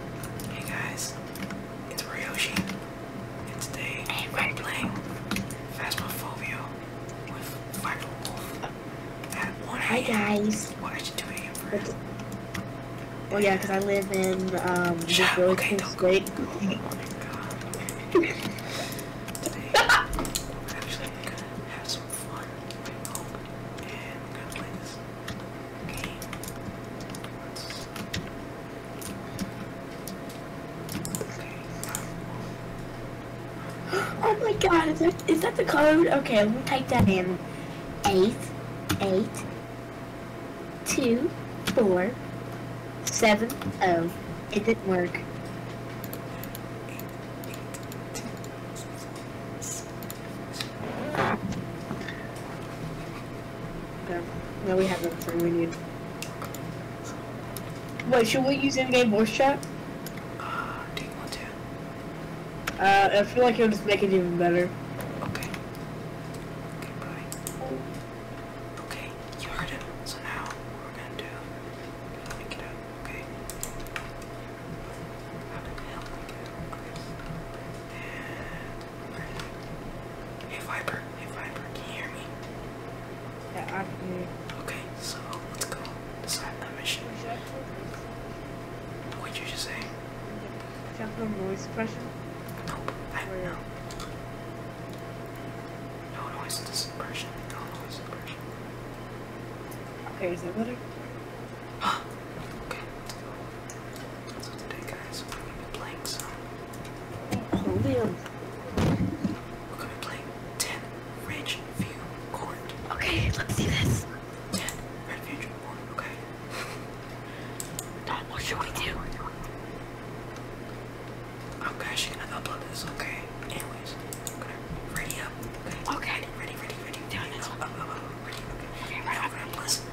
Hey guys, it's Ryoshi, and today I'm playing Phasmophobia with Viper Wolf at 1 Hi guys. Well, I should do it first. Well, yeah, because I live in um, this road okay, do great. Oh my god. today, we're actually gonna have some fun, I hope, and we're gonna play this Okay. Let's... Oh my god, is that the code? Okay, let me type that in. Eight, eight, two, four, seven, oh. It didn't work this. No, we have everything we need. Wait, should we use in-game voice chat? Uh, do you want to? Uh, I feel like it'll just make it even better. Okay. Okay, bye. Okay, you heard it. So now, we're gonna do, let me out, okay? Hey Viper, hey Viper, can you hear me? Yeah, I can hear you. Okay, so let's go decide that mission. What'd you just say? Something voice question? Nope, I don't know. No noise suppression, no noise suppression. Okay, is that better? Huh, okay, let's go. So today, guys, we're gonna be playing some. Napoleon. We're gonna be playing Ten Ridgeview Court. Okay, let's see this. Ten Ridgeview Court. Okay. Dad, what should we do? I'm crashing. I upload this. Okay. Anyways, ready up. Okay. Ready, ready, ready. Down, no, no, no, no, no, no, no, no,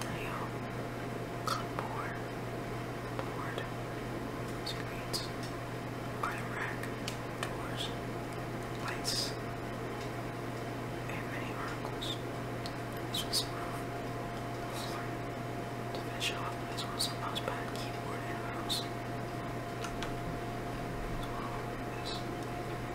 Nail. Clipboard. Board. Screens. Item rack. Doors. Lights. And many articles. This Floor. To finish off, this was a mouse keyboard, and mouse. As well as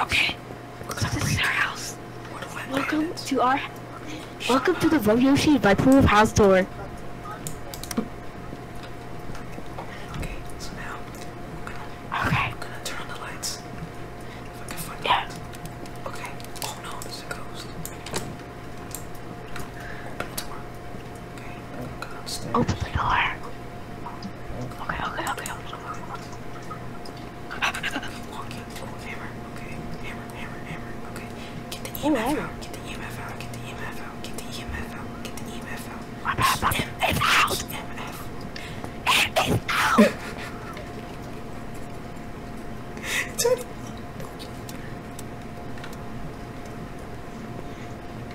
Okay. So this is our house. Welcome to our. Welcome to the rodeo shade by pool of house tour. Okay. So now. I'm gonna, turn the lights. If I can find yeah. Okay. Oh no, there's a ghost. Okay, go downstairs. Open the door. Okay, okay, okay, open the door. Walking, oh, hammer, okay, hammer, hammer, hammer, okay. Get the EMF out, get the EMF out, get the EMF out, get the EMF out, get the EMF out. My bad, my bad. It's out! EMF. It is out! Turn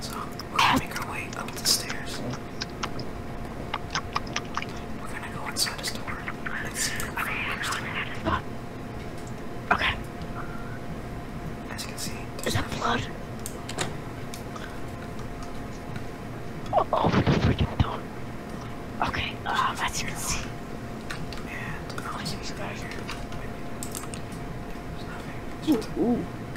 So we're gonna make our way up the stairs. We're gonna go inside the door. Let's see if Okay. As you can see, there's Is that blood? Oh, open the freaking door. Okay, um, as you see. And um, oh, i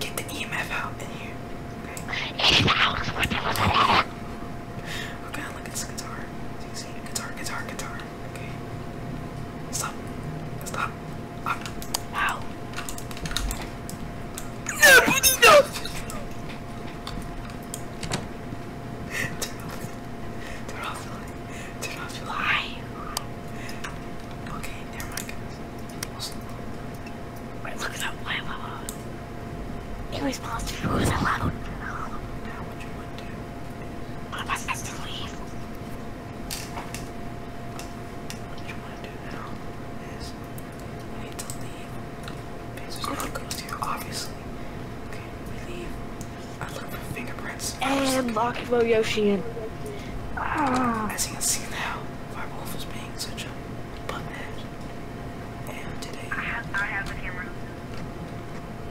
Get the EMF out in here. Okay. Okay, look at this guitar. So you see guitar, guitar, guitar. Okay. Stop. Stop. Up. Wow. No, no. Turn off. Turn off the light. Turn off the light. Okay, never mind guys. Wait, look at that lava. It was positive, it was allowed. Now what you would do? One of us has to leave. What you want to do now is we need to leave. Because there's no ghost here, obviously. Okay, we leave. I look for fingerprints. And Makimo Yoshi in. Ah. As you can see now, Firewolf is being such a butthead. And today. I have, I have the camera.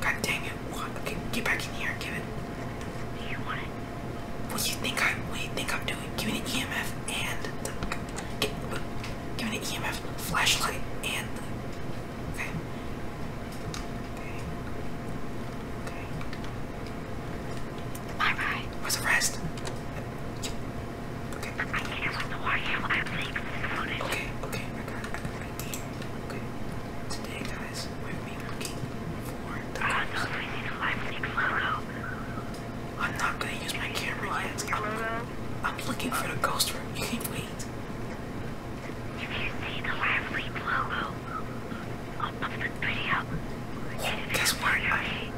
God dang it. What? Okay, get back in here, Kevin. Do you want it? What do you think I what do you think I'm doing? Give me an EMF and the get, give me an EMF flashlight and the Okay. Okay. Okay. Bye bye. Where's the rest? Okay. I can't hear the warrior. I think exploded. Okay, okay, I got it. Okay. Today, guys, we we'll for the. Uh, I am not gonna use my camera yet. i I'm looking for the ghost room. You can't wait. If you see the live link logo, I'll put guess what? I link,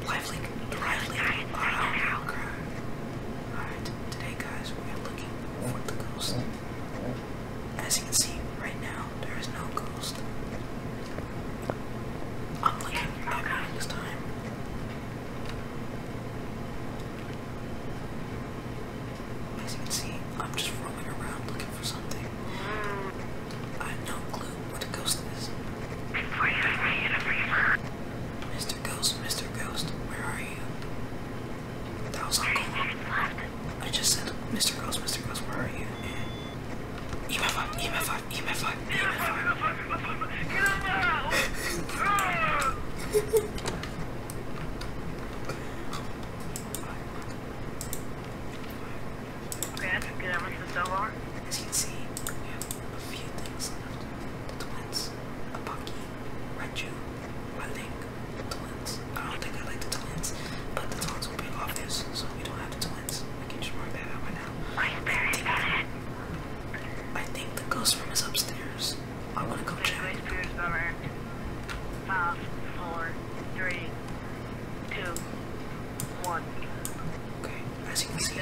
the live link are out. Okay. Alright, today guys, we are looking for the ghost. As you can see, right now, there is no ghost. I'm looking at mine this time. As you can see, I'm just roaming around looking for something. I have no clue what a ghost is. Mr. Ghost, Mr. Ghost, where are you? That was Uncle. I just said, Mr. Ghost, Mr. Ghost, where are you? Yeah. Okay, that's good. How much is the dollar? As you can see, we have a few things left. The twins, a Bucky, Reggie. I think, the twins. I don't think I like the twins, but the twins will be obvious, so we don't have the twins. I can just mark that out right now. I think, I think the ghost room is upstairs. I wanna go check. Five, four, three, two, one. Okay, as you can see,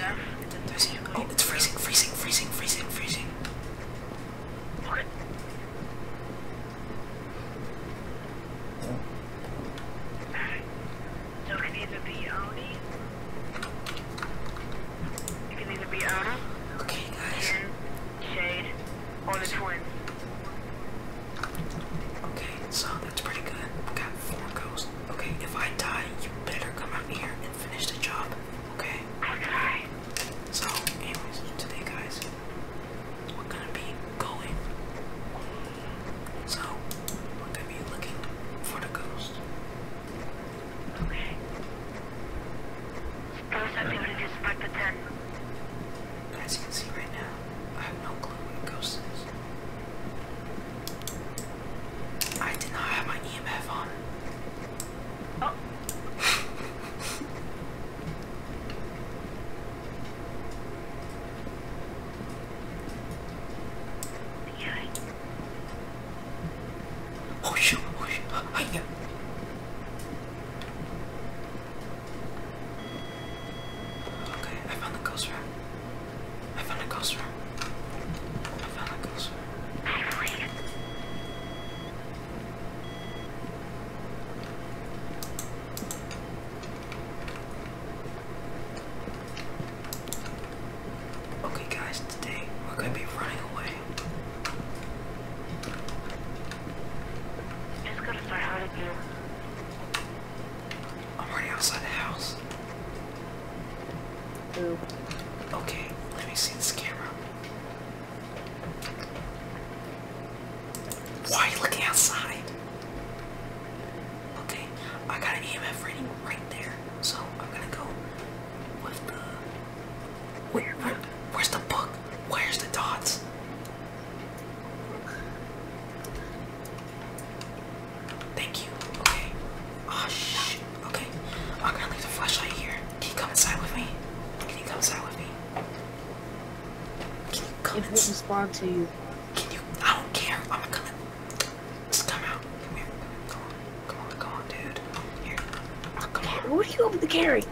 it's freezing, freezing, freezing, freezing, freezing. What? So it can either be Oni. It can either be Oni. Okay, guys. Shade, or the twins. Okay, so that's pretty good. We got four ghosts. Okay, if I die, you better come out here and finish the job. Okay? Okay. So, anyways, today, guys, we're gonna be going. So, we're gonna be looking for the ghost. Okay. Ghosts are building this As you can see right now, I have no clue what a ghost is. I did not have my EMF on. Oh. Oh shoot! Oh shoot! I yeah. Okay, I found the ghost rat. I found a ghost I found a ghost Okay guys, today we're gonna be running away. Just gotta start hard again. I'm already outside the house. Ooh. Okay, let me see this camera. Why are you looking outside? Okay, I got an EMF reading right there, so I'm gonna go with the. where, where's the book? Where's the dots? Thank you. Okay. Oh shit. Okay. I'm gonna leave the flashlight here. Can you come inside with me? Can you come inside with me? Can you come? It won't respond to you. Can you? I don't care. I'm gonna come. In. Just come out. Come here. Come on. Come on. Come on, dude. Here. Oh, come on. What are you able to carry?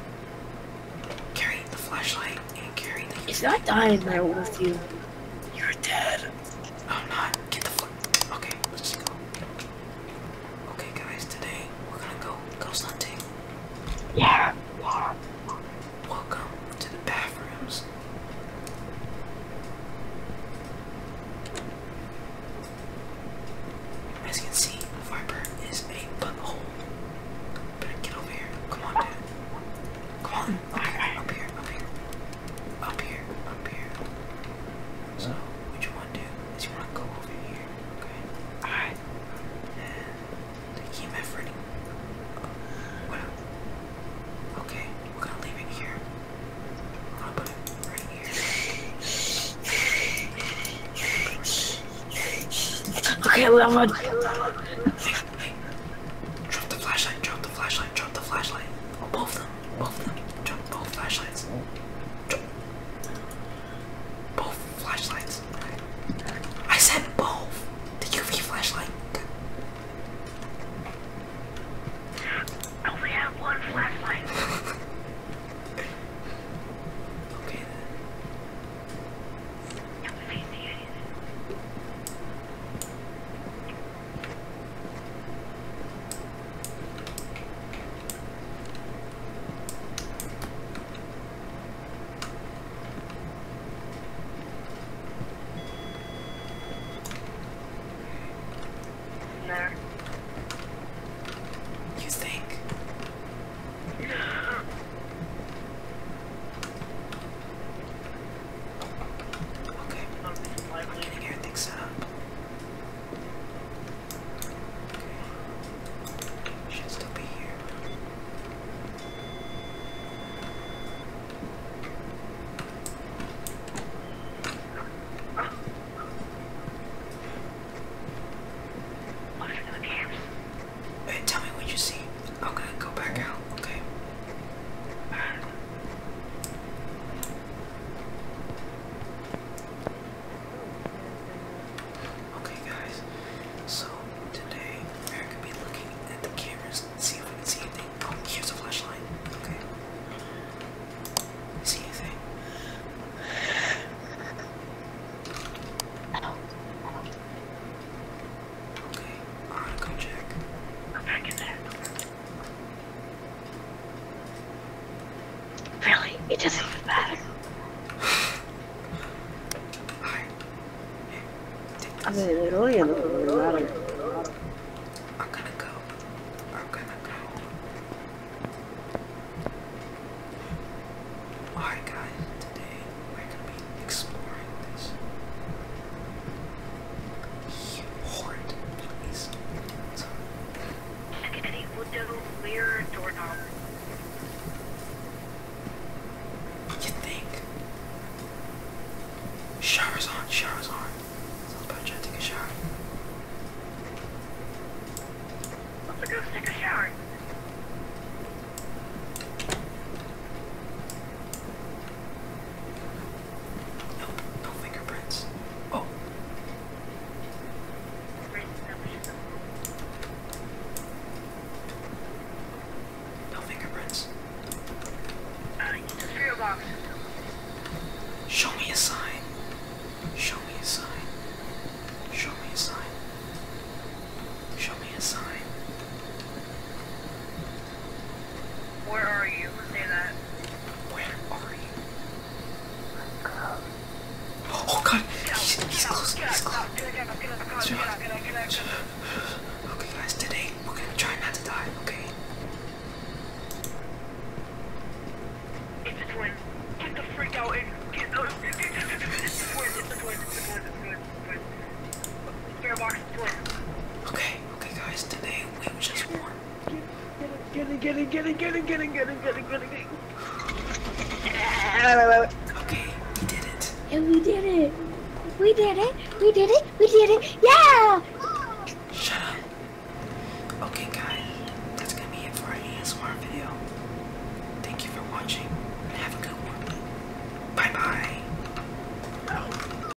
Carry the flashlight and carry the. It's not dying there with you. You're dead. I'm oh, not. Get the fuck. Okay, let's go. Okay, guys, today we're gonna go ghost hunting. Yeah. Welcome to the bathrooms. As you can see, Viper is a butthole. Better get over here. Come on, dude. Come on. Okay, up here, up here up here, up here. So what you want to do is you want to go over here, okay? Alright. And the key method. What Okay, we're gonna leave it here. We're gonna put it right here. Okay, level. Hey, Drop the flashlight, drop flashlight, drop the flashlight. Oh, both of them, both of them. Drop both flashlights. Drop. Both flashlights. I said both. The UV flashlight. I only have one flashlight. okay there. You think? Okay, I'm getting everything set up. Should still be here. What are the cameras? Hey, tell me what you see. i go back out, okay? Okay, guys, so today I'm gonna be looking at the cameras and see if we can see anything. Oh, here's a flashlight. Okay. See anything? Okay, I'm check. I'm back in there. Really? It doesn't even matter. I am gonna go. I'm gonna go. Alright, guys. Today, we're gonna be exploring this Horrid place. Like any wood devil mirror doorknob. You think? Showers on, showers on. Sounds about trying a shower. Let's go take a shower. No, fingerprints. Oh. No fingerprints. Show me a sign. Show me a sign. Show me a sign. Show me a sign. Where are you? Say that. Where are you? Um, oh god! He's, he's close! He's close! Okay guys, today we're gonna try not to die, okay? It's a twin. Get the freak out and get out. It's a twin, it's a twin, it's a twin, it's a twin, it's a twin. Okay, okay guys, today we just won. Get it, get it, get it, get it, get it, get it, get it, get it, get it. Okay, we did it. And we did it. We did it. We did it. We did it. Yeah! Shut up. Okay guys, that's gonna be it for our ASMR video. Thank you for watching have a good one. Bye bye.